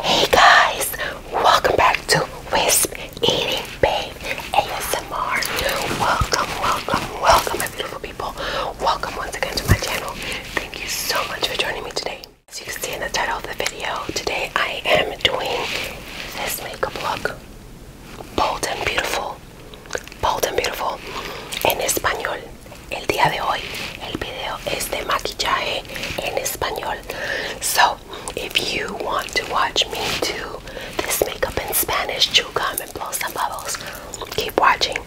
Hey guys, welcome back to Wisp Eating Babe ASMR. Welcome, welcome, welcome, my beautiful people. Welcome once again to my channel. Thank you so much for joining me today. As you can see in the title of the video, today I am doing this makeup look. Bold and beautiful. Bold and beautiful. En español. El día de hoy, el video es de maquillaje en español. So, if you want to watch me do this makeup in Spanish, chew and blow some bubbles, keep watching.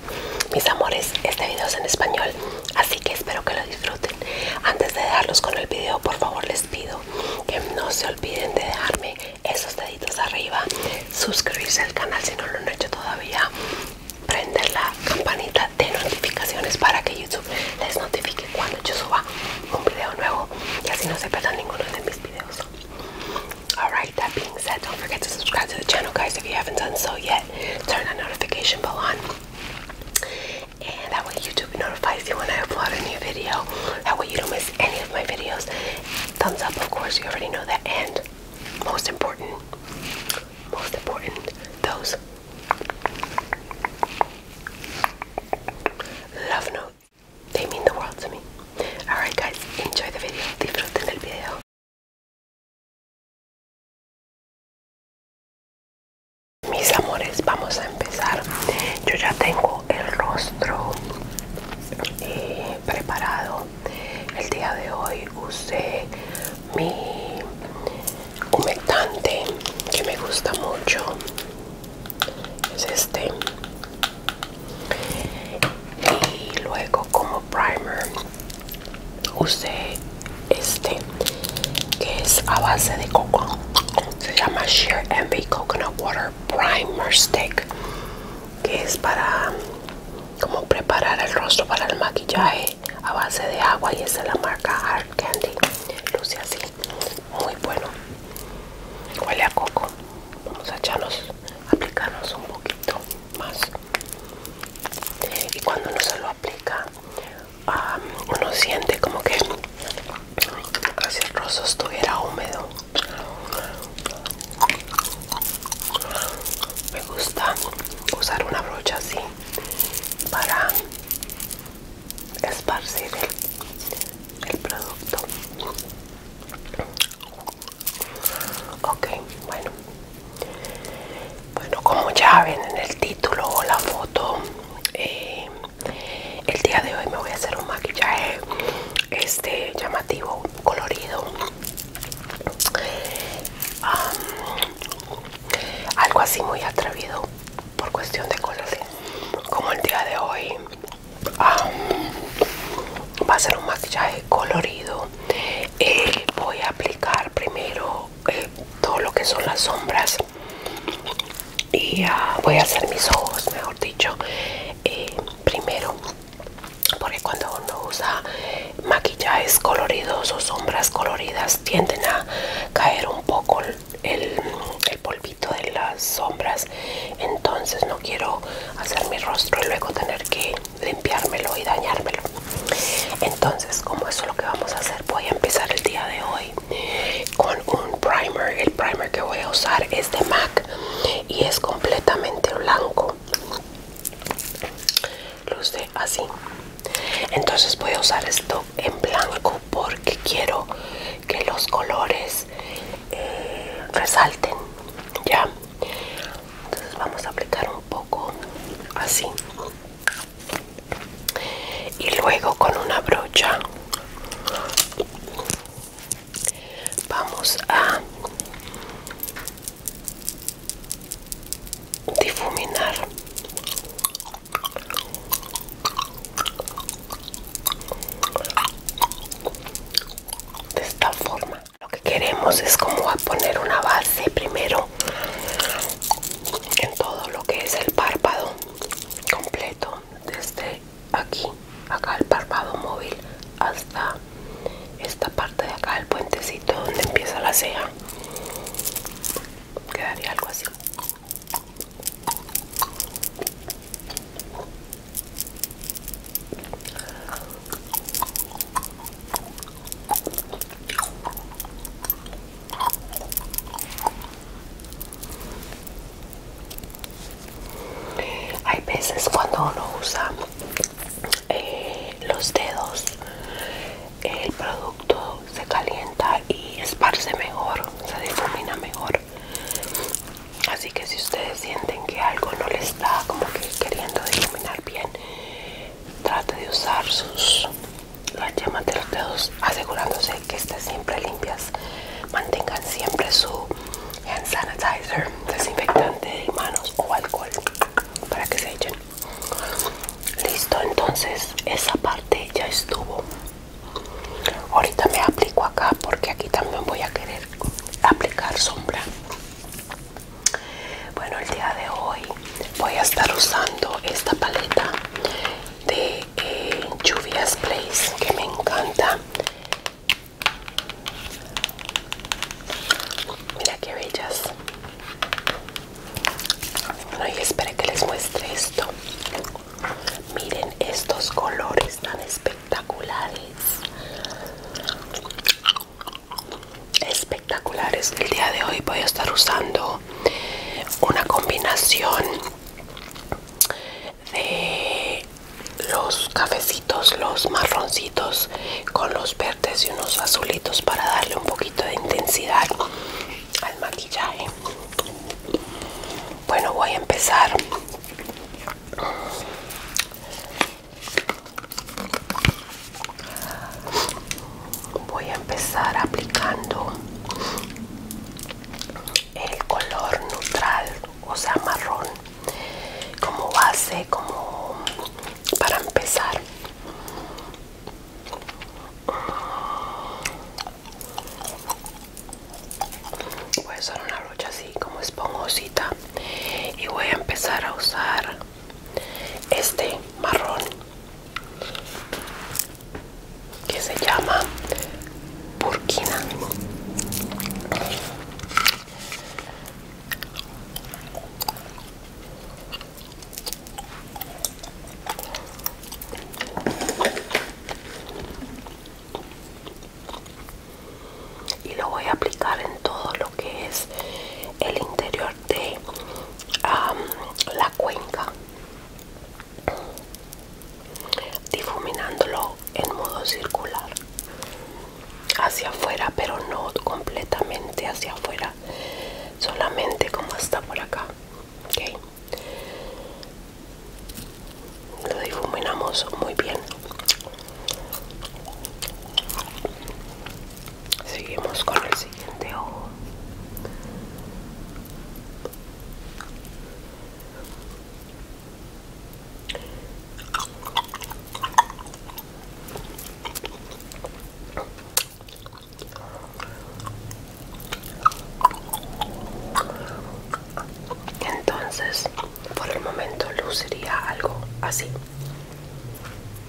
Mis amores, este video es en español, así que espero que lo disfruten. Antes de dejarlos con el video, por favor les pido que no se olviden de dejarme esos deditos arriba, suscribirse al canal si no lo han hecho todavía, prenderla. Alright, that being said, don't forget to subscribe to the channel, guys, if you haven't done so yet. Turn that notification bell on, and that way YouTube notifies you when I upload a new video. That way you don't miss any of my videos. Thumbs up, of course, you already know that. And most important, most important, those Love note. They mean the world to me. Alright guys, enjoy the video. Disfruten el video. Mis amores, vamos a empezar. Yo ya tengo el rostro eh, preparado. El día de hoy usé mi humectante que me gusta mucho es este y luego como primer usé este que es a base de coco se llama Sheer Envy Coconut Water Primer Stick que es para como preparar el rostro para el maquillaje a base de agua y es de la marca Candy. Luce así. Muy bueno. Huele a coco. Vamos a echarnos, aplicarnos un poquito más. Y cuando uno se lo aplica, uno siente como que si el rostro estuviera húmedo. Me gusta usar una brocha así para esparcir el, producto ok bueno bueno como ya ven en el título o la foto eh, el día de hoy me voy a hacer un maquillaje este llamativo colorido algo así muy atrevido por cuestión de colores como el día de hoy va a ser un maquillaje colorido eh, voy a aplicar primero eh, todo lo que son las sombras y ah, voy a hacer mis ojos mejor dicho eh, primero porque cuando uno usa maquillajes coloridos o sombras coloridas tienden a caer un poco el, polvito de las sombras entonces no quiero hacer mi rostro y luego tener que limpiármelo y dañármelo entonces como eso es lo que vamos a hacer voy a empezar el día de hoy con un primer el primer que voy a usar es de MAC y es completamente blanco luce así entonces voy a usar esto en blanco porque quiero que los colores eh, resalten ya entonces vamos a aplicar un poco así y luego con una brocha vamos a difuminar de esta forma lo que queremos es como a poner una base primero en todo lo que es el párpado completo desde aquí acá el párpado móvil hasta esta parte de acá el puentecito donde empieza la ceja quedaría algo así hay veces cuando uno usa eh, los dedos el producto se calienta y esparce mejor, se difumina mejor. Así que si ustedes sienten que algo no le está como que queriendo difuminar bien, trate de usar sus las yemas de los dedos asegurándose que estén siempre limpias. Mantengan siempre su hand sanitizer, desinfectante de manos o alcohol para que se echen. Listo, entonces esa parte ya estuvo. Ahorita me aplico acá porque aquí también voy a querer aplicar sombra. Bueno, el día de hoy voy a estar usando esta paleta de eh, lluvias Place que me encanta. Mira qué bellas. Bueno, y espera que les muestre esto. Miren estos colores tan espectaculares. Espectaculares. El día de hoy voy a estar usando una combinación de los cafecitos, los marroncitos con los verdes y unos azulitos para darle un poquito de intensidad al maquillaje. Bueno, voy a empezar. Voy a empezar aplicando el color neutral, o sea, marrón, como base, como para empezar. Voy a usar una brocha así como esponjosa y voy a empezar a usar este marrón que se llama Burkina y lo voy a aplicar en todo lo que es el interior de la cuenca difuminándolo en modo circular hacia afuera pero no completamente hacia afuera solamente como está por acá lo difuminamos muy bien seguimos con el siguiente ojo entonces, por el momento luciría algo así.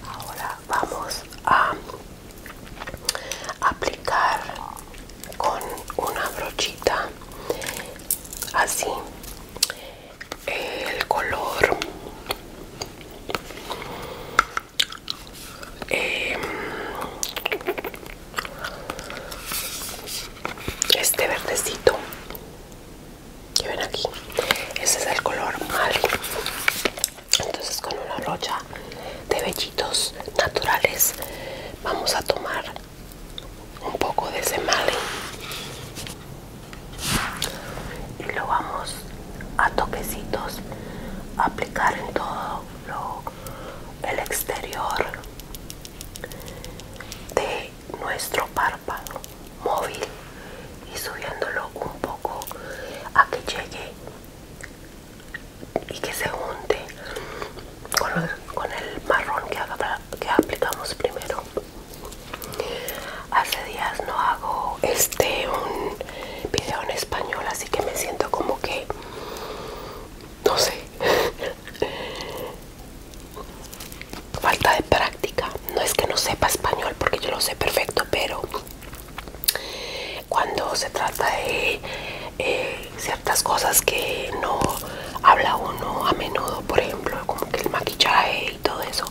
Ahora vamos a aplicar con una brochita así el color eh, este verdecito que ven aquí ese es el color mal entonces con una rocha de vellitos naturales vamos a tomar un poco de ese male y lo vamos a toquecitos a aplicar en todo lo el exterior de nuestro párpado móvil y subiéndolo un poco a que llegue y que se junte con el, marrón que, que aplicamos primero hace días no hago este un video en español así que me siento como que no sé falta de práctica no es que no sepa español porque yo lo sé perfecto pero cuando se trata de eh, ciertas cosas que no habla uno a menudo por ejemplo como que el maquillaje y todo eso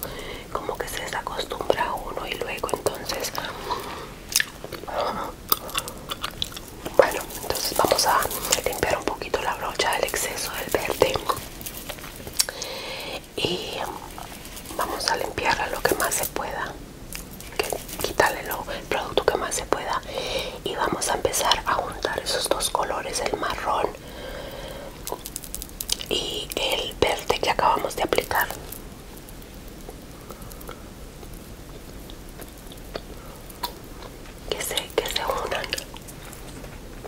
como que se desacostumbra uno y luego entonces bueno, entonces vamos a limpiar un poquito la brocha del exceso del verde y vamos a limpiarla lo que más se pueda, quitarle el producto que más se pueda y vamos a empezar a juntar esos dos colores, el marrón y el verde que acabamos de aplicar que se, que se unan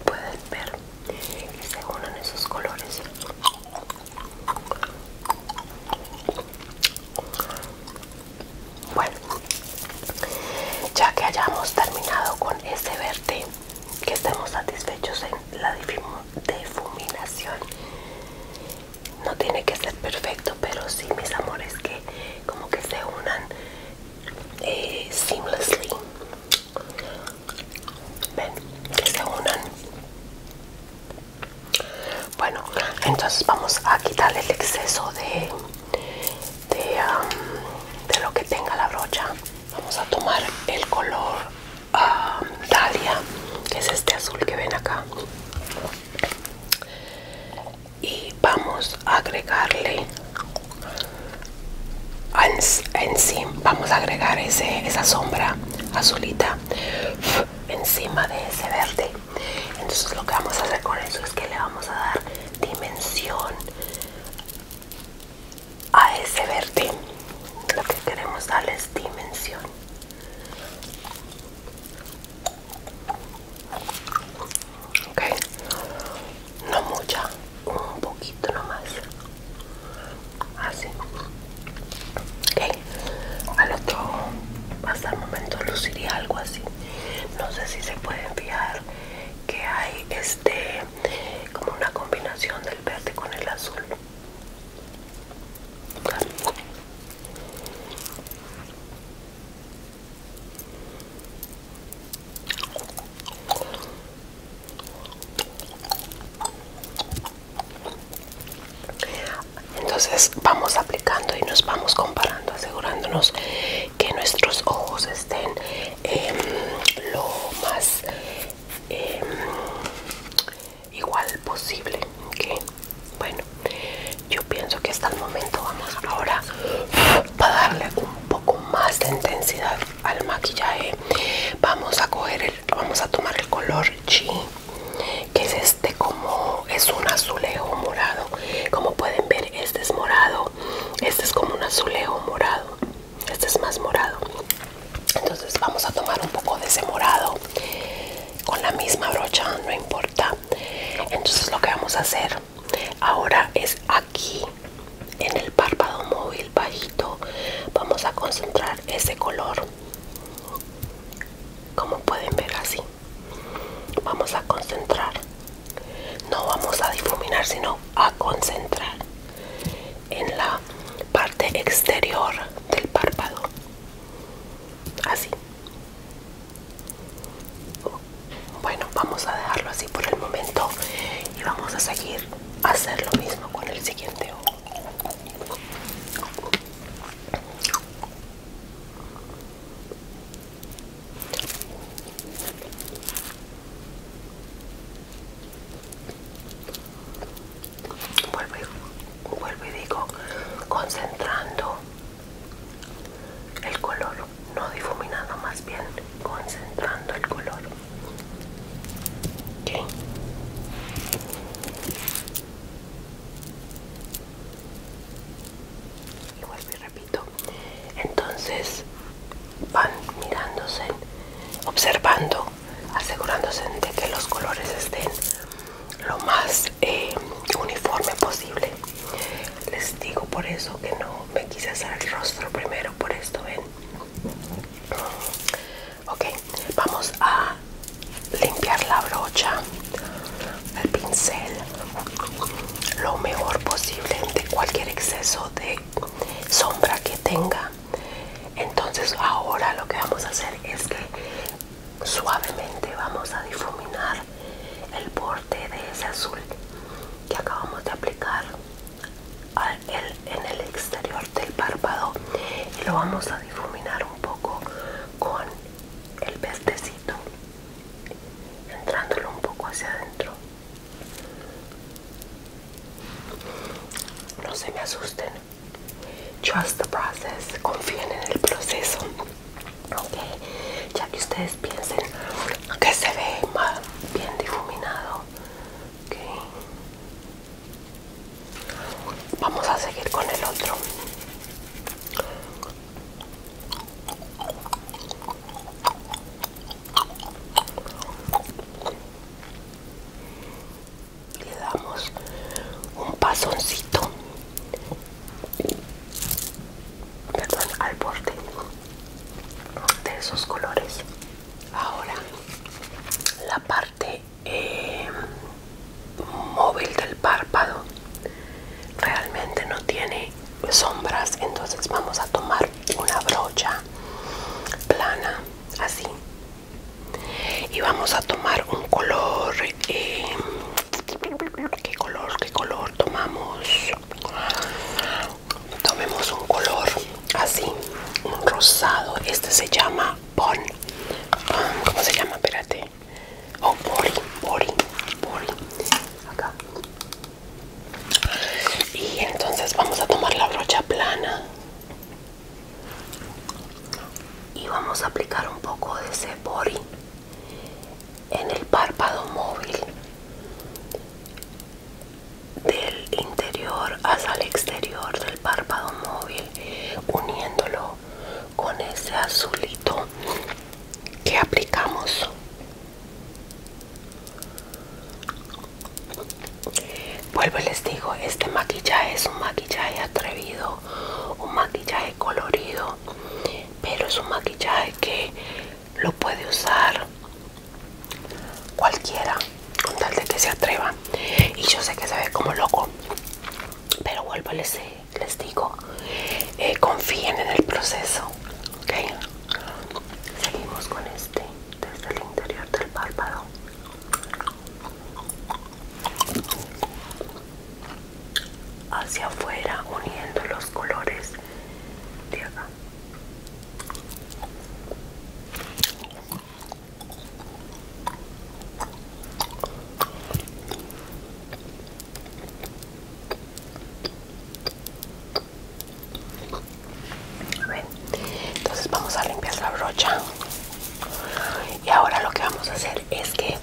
pueden ver que se unan esos colores bueno ya que hayamos terminado con ese verde que estemos satisfechos en la difuminación no tiene que ser perfecto pero sí mis amores que como que se unan eh, seamlessly ven que se unan bueno entonces vamos a quitar el exceso de um, de, lo que tenga la brocha vamos a tomar el color um, dahlia que es este azul que ven acá y vamos a agregarle vamos a agregar ese, esa sombra azulita encima de ese verde entonces lo que vamos a hacer con eso es que le vamos a dar dimensión a ese verde lo que queremos es dimensión ok no mucha un poquito nomás así ok al otro hasta el momento luciría algo así no sé si se puede enviar que hay este como una combinación del verde con el azul entonces vamos aplicando y nos vamos comparando, asegurándonos que nuestros ojos estén em, lo más em, igual posible. Bueno, yo pienso que hasta el momento vamos ahora para darle un poco más de intensidad al maquillaje. Vamos a coger el, vamos a tomar el color G, que es este como es un azulejo morado. Como pueden ver, este es morado. Este es como un azulejo morado. Este es más morado. Entonces vamos a tomar un poco de ese morado con la misma brocha, no importa entonces lo que vamos a hacer ahora es aquí en el párpado móvil bajito vamos a concentrar ese color como pueden ver así vamos a concentrar no vamos a difuminar sino a concentrar en la parte exterior del párpado así bueno, vamos a dejarlo así por el momento y vamos a seguir hacer lo mismo con el siguiente ojo. Vuelvo vuelvo y digo, concentrando el color no difuminado más bien concentrando el color y vuelvo y repito entonces van mirándose observando asegurándose de que los colores estén lo más eh, uniforme posible les digo por eso que no me quise hacer el rostro primero por esto ven ok vamos a limpiar la brocha el pincel lo mejor posible de cualquier exceso de sombra que tenga entonces ahora lo que vamos a hacer es que suavemente vamos a difuminar el borde de ese azul que acabamos de aplicar al, en el exterior del párpado y lo vamos a difuminar un poco con el pestecito entrándolo un poco hacia adentro no se me asusten trust the process confíen en el proceso ok, ya que ustedes piensen que se ve más bien difuminado vamos a seguir con el otro le damos un pasoncito perdón, al borde de esos colores. Ahora, la parte eh, móvil del párpado realmente no tiene sombras, entonces vamos a tomar una brocha plana, así, y vamos a tomar un color eh, ¿Qué color? ¿Qué color tomamos? Tomemos un color así, un rosado. Este se llama pon ¿Cómo se llama? Espérate. o oh, Bori, Bori, Bori. Acá. Y entonces vamos a tomar la brocha plana. Y vamos a aplicar un poco de ese Bori en el párpado móvil del interior hasta el exterior del párpado móvil uniéndolo con ese azulito que aplicamos vuelvo y les digo este maquillaje es un maquillaje atrevido un maquillaje colorido pero es un maquillaje que lo puede usar cualquiera con tal de que se atreva y yo sé que se ve como loco pero vuelvo les, les digo eh, confíen en el proceso ok seguimos con este desde el interior del párpado hacia afuera uniendo los colores de acá entonces vamos a limpiar la brocha y ahora lo que vamos a hacer es que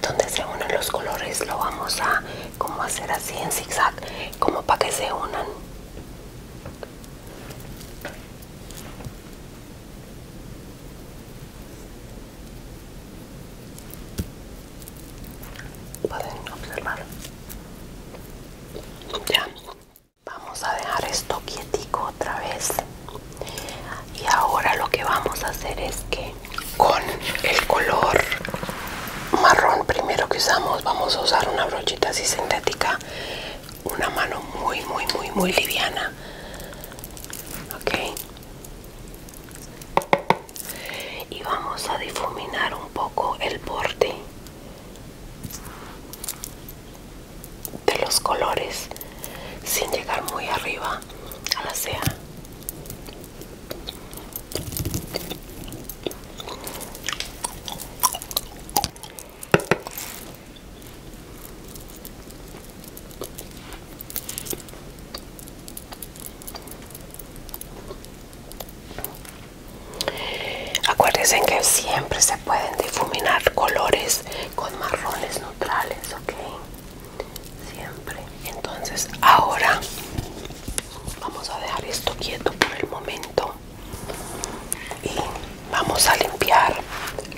donde se unen los colores lo vamos a como hacer así en zigzag como para que se unan pueden observar ya vamos a dejar esto quietico otra vez y ahora lo que vamos a hacer es que con el color marrón primero que usamos vamos a usar una brochita así sintética una mano muy muy muy muy liviana ok y vamos a difuminar un poco el borde de los colores sin llegar muy arriba a la ceja Acuérdense que siempre se pueden difuminar colores con marrones neutrales, ¿ok? siempre entonces ahora vamos a dejar esto quieto por el momento y vamos a limpiar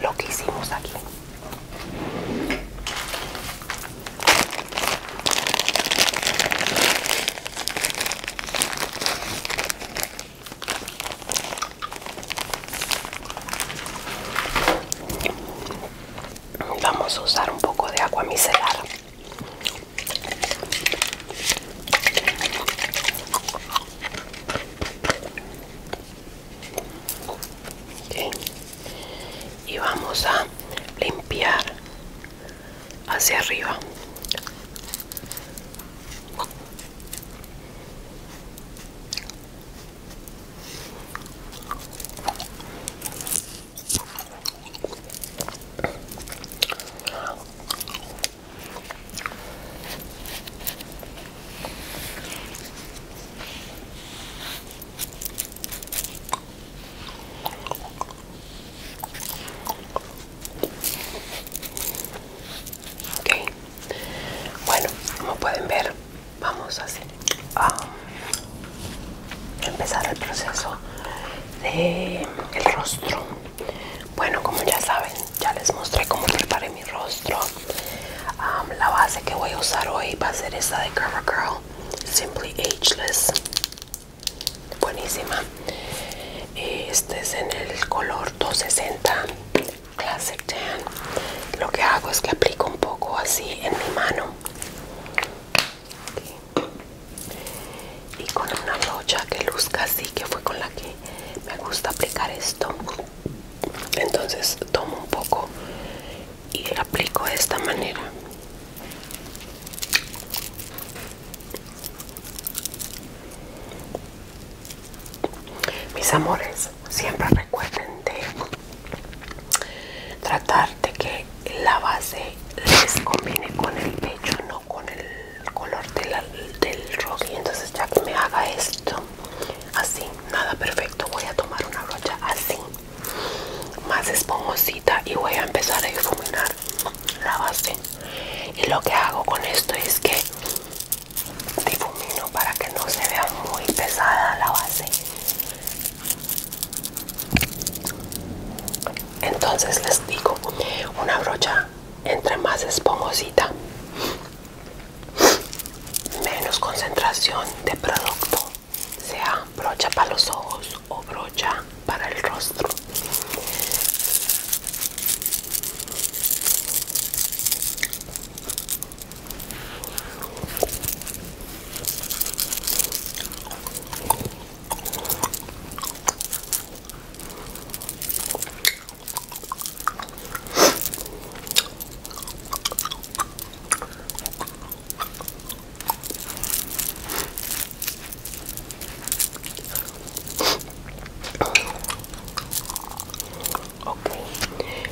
lo que hicimos aquí vamos a usar un poco de agua micelar y vamos a limpiar hacia arriba bueno, como pueden ver, vamos a ah, empezar el proceso de el rostro bueno como ya saben ya les mostré cómo preparé mi rostro ah, la base que voy a usar hoy va a ser esta de CoverGirl Simply Ageless buenísima este es en el color 260 Classic Tan lo que hago es que aplico un poco así en mi mano y con una brocha que luzca así que fue con la que me gusta aplicar esto entonces tomo un poco y lo aplico de esta manera mis amores siempre recuerden de tratar de que la base les combine con el pecho no con el color del rock y entonces ya que me haga esto así nada perfecto voy a tomar una brocha así más esponjosita y voy a empezar a difuminar la base y lo que hago con esto es que difumino para que no se vea muy pesada la base entonces les digo una brocha entre más esponjosa menos concentración de producto sea brocha para los ojos o brocha para el rostro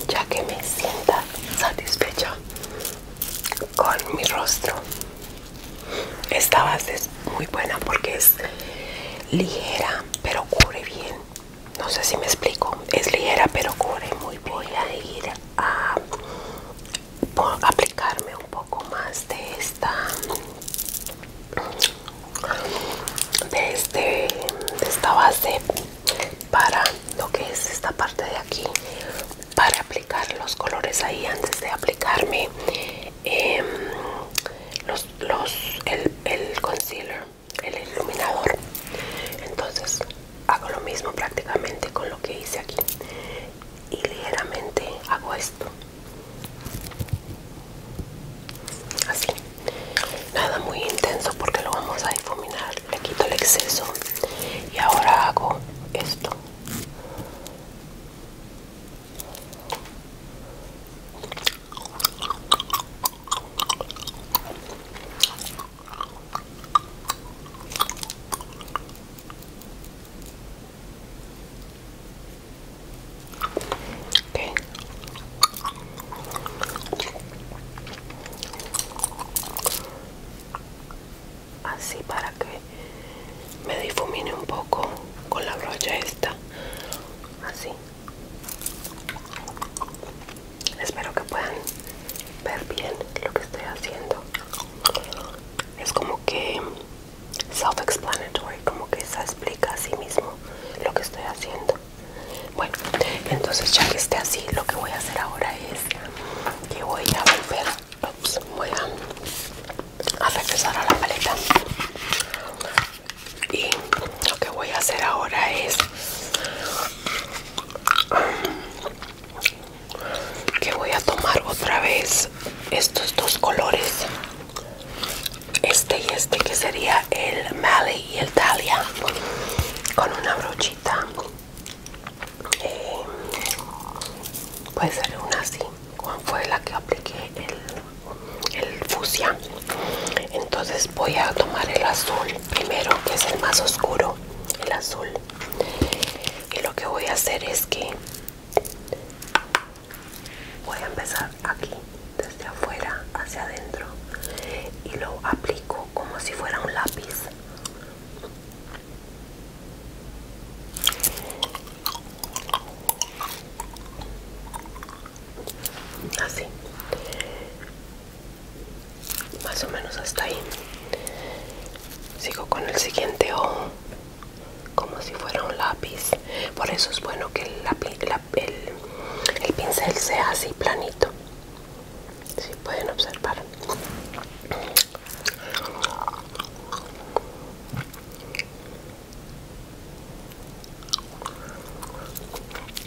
ya que me sienta satisfecha, con mi rostro esta base es muy buena porque es ligera pero cubre bien no sé si me explico es ligera pero cubre muy voy a ir a aplicarme un poco más de esta de, este, de esta base para lo que es esta parte de aquí para aplicar los colores ahí antes de aplicarme em, el, el concealer, el iluminador. Entonces hago lo mismo prácticamente con lo que hice aquí y ligeramente hago esto. Así, nada muy intenso porque lo vamos a difuminar le quito el exceso y ahora hago esto así para que me difumine un poco con la brocha esta así espero que puedan ver bien lo que estoy haciendo es como que self explanatory como que se explica a sí mismo lo que estoy haciendo bueno entonces ya que esté así lo que voy a hacer ahora es y voy a volver a, regresar a la paleta y lo que voy a hacer ahora es que voy a tomar otra vez estos dos colores este y este que sería el Mali y el Talia con una brochita puede ser una así cuál fue la que apliqué el, el entonces voy a tomar el azul primero que es el más oscuro el azul y lo que voy a hacer es que voy a empezar aquí desde afuera hacia adentro y lo aplico como si fuera un lápiz así más o menos hasta ahí sigo con el siguiente ojo como si fuera un lápiz por eso es bueno que el, el pincel sea así planito si pueden observar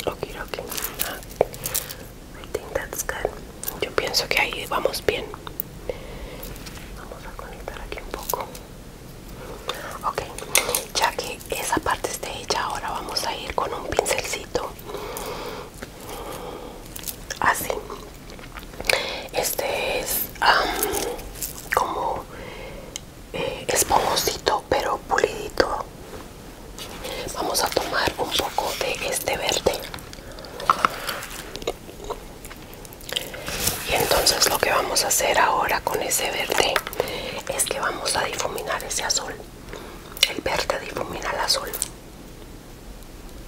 Okay, okay. I think that's good. Yo pienso que ahí vamos bien. Vamos a conectar aquí un poco. Ok, ya que esa parte está hecha, ahora vamos a ir con un pincelcito así este es como eh, pero pulidito vamos a tomar un poco de este verde y entonces lo que vamos a hacer ahora con ese verde es que vamos a difuminar ese azul el verde difumina el azul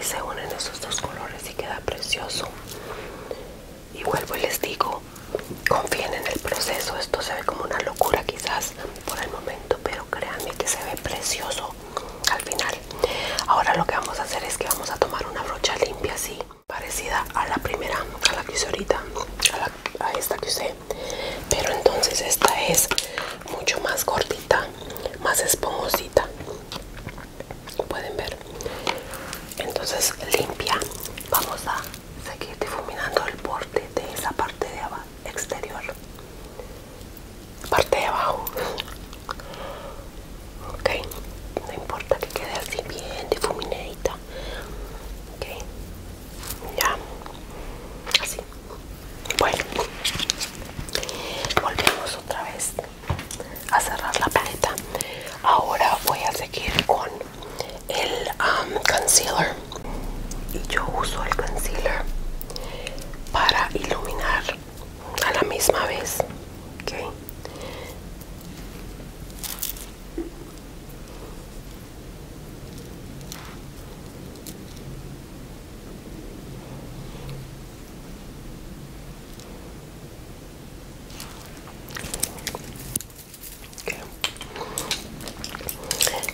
se unen esos dos colores y queda precioso y vuelvo y les digo confíen en el proceso esto se ve como una locura quizás por el momento pero créanme que se ve precioso al final ahora lo que vamos a hacer es que vamos a tomar una brocha limpia así parecida a la primera a la que usé ahorita a, esta que usé pero entonces esta es mucho más gordita más esponjosita pueden ver entonces limpia vamos a seguir difuminando el borde de esa parte de abajo exterior parte de abajo ok no importa que quede así bien difuminadita ok ya así bueno volvemos otra vez a cerrar la paleta ahora voy a seguir con el um, concealer y yo uso el concealer para iluminar a la misma vez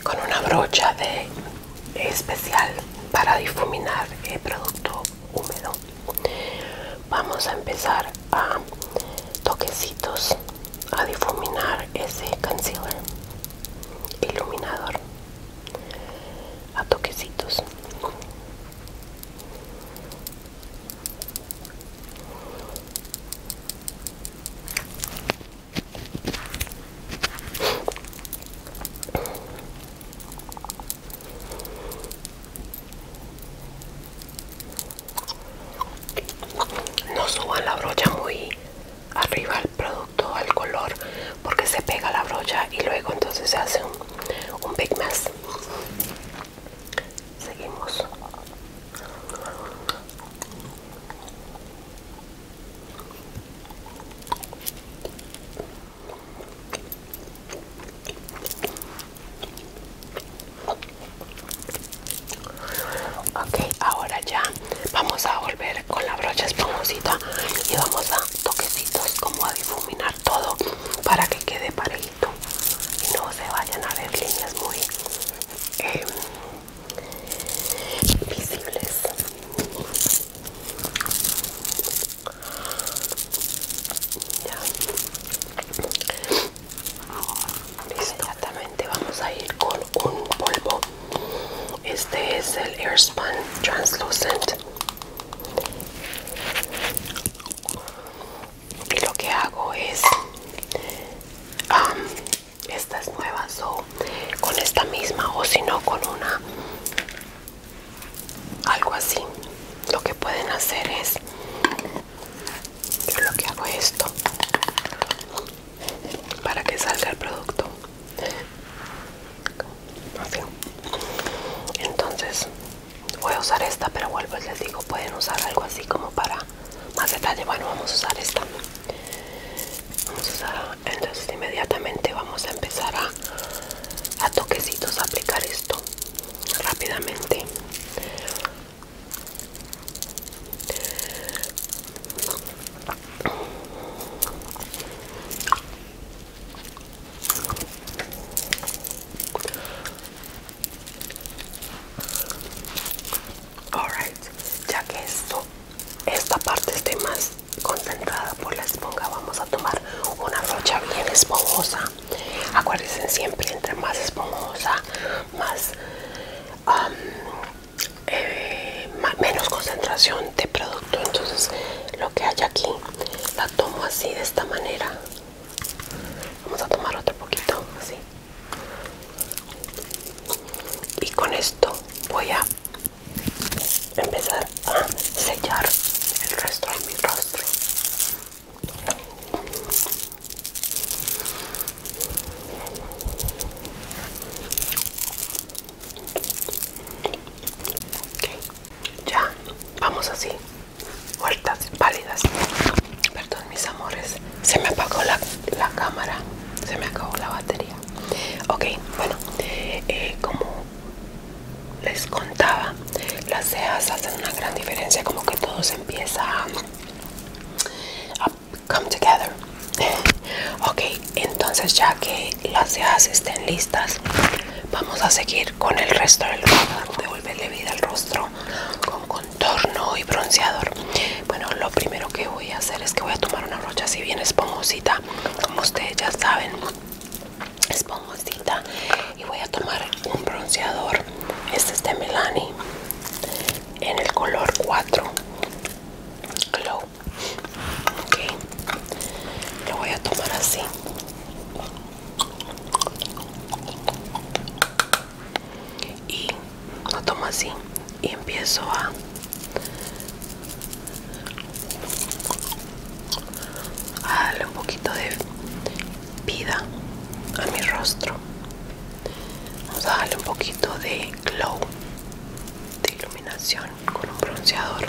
con una brocha de especial para difuminar el producto húmedo vamos a empezar a toquecitos a difuminar ese concealer iluminador a toquecitos no suban la brocha muy arriba al producto, al color, porque se pega la brocha y luego entonces se hace un, un big mess. Seguimos. Ok, ahora ya vamos a volver con la brocha esponjosita y vamos a toquecitos como a difuminar todo para que quede parejito y no se vayan a ver líneas muy em, visibles ya. Inmediatamente vamos a ir con un polvo. Este es el Airspun Translucent y lo que hago es estas nuevas o con esta misma o si no con una algo así lo que pueden hacer es yo lo que hago es esto para que salga el producto entonces voy a usar esta pero vuelvo y les digo pueden usar algo así como para más detalle bueno vamos a usar esta vamos a entonces inmediatamente vamos a empezar a, a toquecitos a aplicar esto rápidamente Alright, ya que esto, esta parte esté más concentrada por la esponja, vamos a tomar una brocha bien esponjosa. Acuérdense siempre, entre más esponjosa, más um, eh, menos concentración de producto. Entonces, lo que hay aquí, la tomo así de esta manera. Vamos a tomar otro poquito, así. Y con esto voy a empezar a sellar el resto de mi rostro. Okay. Ya, vamos así muertas, pálidas. Perdón, mis amores. Se me apagó la, cámara. Se me acabó la batería. Ok, bueno. Eh, como les contaba, las cejas hacen una gran diferencia. Como que todo se empieza a, come together. ok, entonces ya que las cejas estén listas, vamos a seguir con el resto del video le vida al rostro con contorno y bronceador bueno lo primero que voy a hacer es que voy a tomar una brocha así bien esponjosa como ustedes ya saben esponjosa y voy a tomar un bronceador este es de melanie en el color 4 glow ok lo voy a tomar así y lo tomo así y empiezo a darle un poquito de vida a mi rostro vamos a darle un poquito de glow de iluminación con un bronceador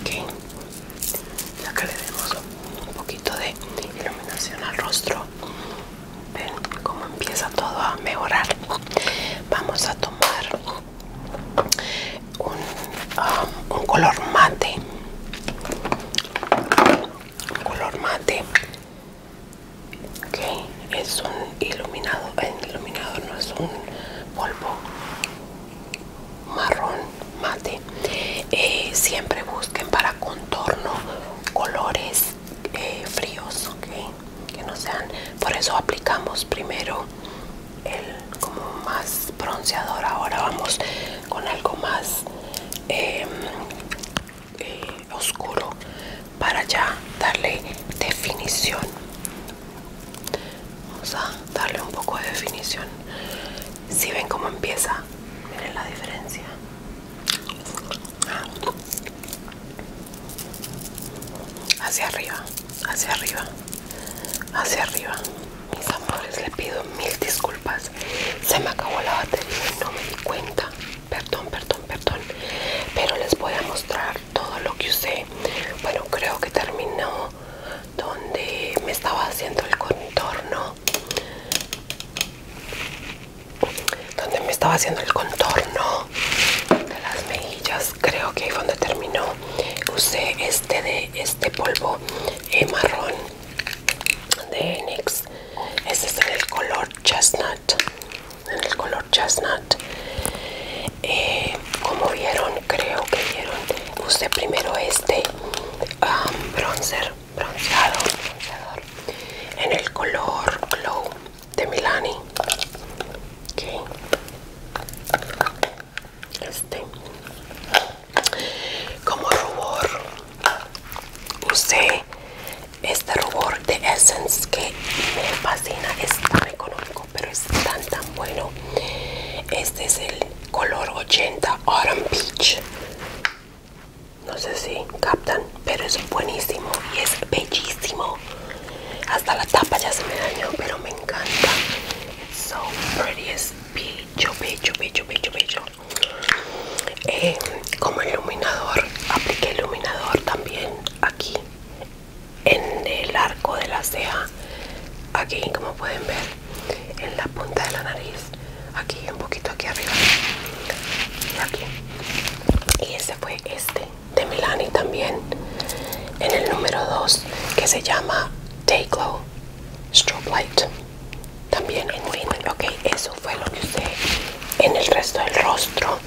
Ok. Acá le demos un poquito de iluminación al rostro. Ven cómo empieza todo a mejorar. Vamos a tomar un, um, un color mate. Un color mate. Ok, es un iluminado, el no es un polvo marrón mate. Eh, siempre busquen para contorno colores eh, fríos, ok que no sean. Por eso aplicamos primero el como más bronceador. Ahora vamos con algo más em, eh, oscuro para ya darle definición Vamos a darle un poco de definición. Si ven cómo empieza, miren la diferencia. Ah. Hacia arriba, hacia arriba, hacia arriba. Mis amores, le pido mil disculpas. Se me acabó la batería y no me di cuenta. Perdón, perdón, perdón. Pero les voy a mostrar todo lo que usé bueno creo que terminó donde me estaba haciendo el contorno donde me estaba haciendo el contorno de las mejillas creo que ahí fue donde terminó usé este de este polvo eh, marrón de NYX este es en el color chestnut en el color chestnut eh, como vieron, creo que vieron, usé primero este um, bronzer, bronceado, en el color Glow de Milani. Este, como rubor, usé este rubor de Essence que me fascina, es tan económico pero es tan tan bueno este es el color 80 autumn peach no sé si captan pero es buenísimo y es bellísimo hasta la tapa ya se me dañó pero me encanta so pretty es bello bello bello bello eh, como iluminador apliqué iluminador también aquí en el arco de la ceja aquí como pueden ver en la punta de la nariz aquí un poquito aquí arriba y aquí y ese fue este de Milani también en el número 2 que se llama Day Glow Strobe Light también en wing ok eso fue lo que usé en el resto del rostro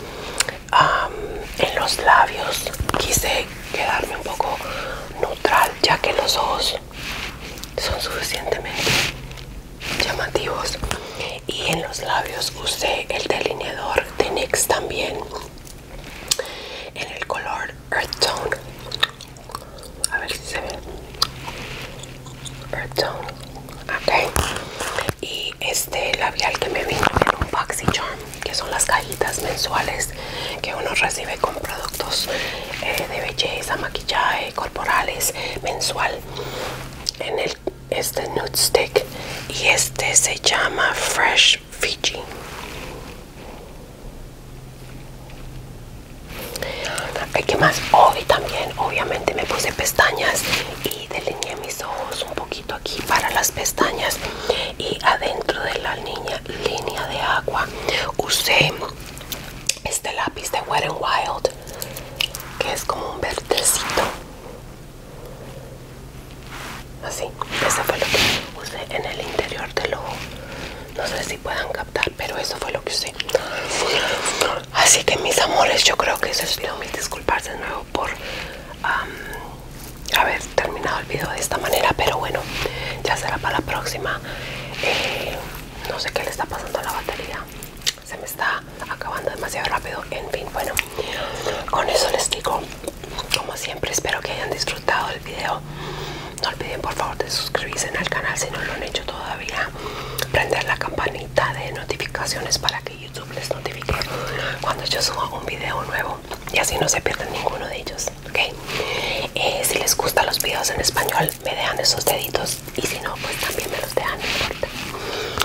en los labios quise quedarme un poco neutral ya que los ojos son suficientemente llamativos y en los labios usé el delineador de NYX también en el color Earth Tone a ver si se ve Earth Tone ok y este labial que me vino un Boxy Charm que son las cajitas mensuales que uno recibe con productos eh, de belleza, maquillaje, corporales, mensual. En el este nude stick y este se llama Fresh Fiji. ¿Qué más? Hoy también, obviamente, me puse pestañas y delineé mis ojos un poco aquí para las pestañas y adentro de la línea, línea de agua usé este lápiz de Wet n Wild que es como un verdecito así eso fue lo que usé en el interior del ojo no sé si puedan captar pero eso fue lo que usé así que mis amores yo creo que eso es lo mismo disculpas de nuevo por haber terminado el video de esta manera pero bueno ya será para la próxima eh, no sé qué le está pasando a la batería se me está acabando demasiado rápido en fin bueno con eso les digo como siempre espero que hayan disfrutado el video no olviden por favor de suscribirse al canal si no lo han hecho todavía prender la campanita de notificaciones para que youtube les notifique cuando yo suba un video nuevo y así no se pierden ninguno de ellos. ¿ok? Eh, si les gustan los videos en español, me dejan esos deditos y si no, pues también me los dejan,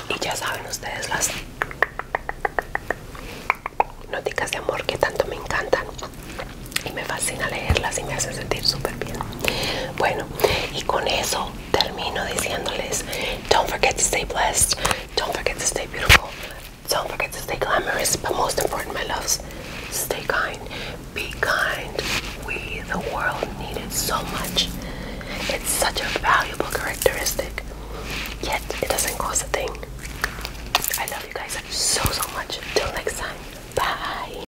Y ya saben ustedes las noticas de amor que tanto me encantan y me fascina leerlas y me hacen sentir súper bien. Bueno, y con eso termino diciéndoles: Don't forget to stay blessed, don't forget to stay beautiful. Don't forget to stay glamorous, but most important, my loves, stay kind. Be kind. We, the world, need it so much. It's such a valuable characteristic, yet it doesn't cost a thing. I love you guys so, so much. Till next time, bye.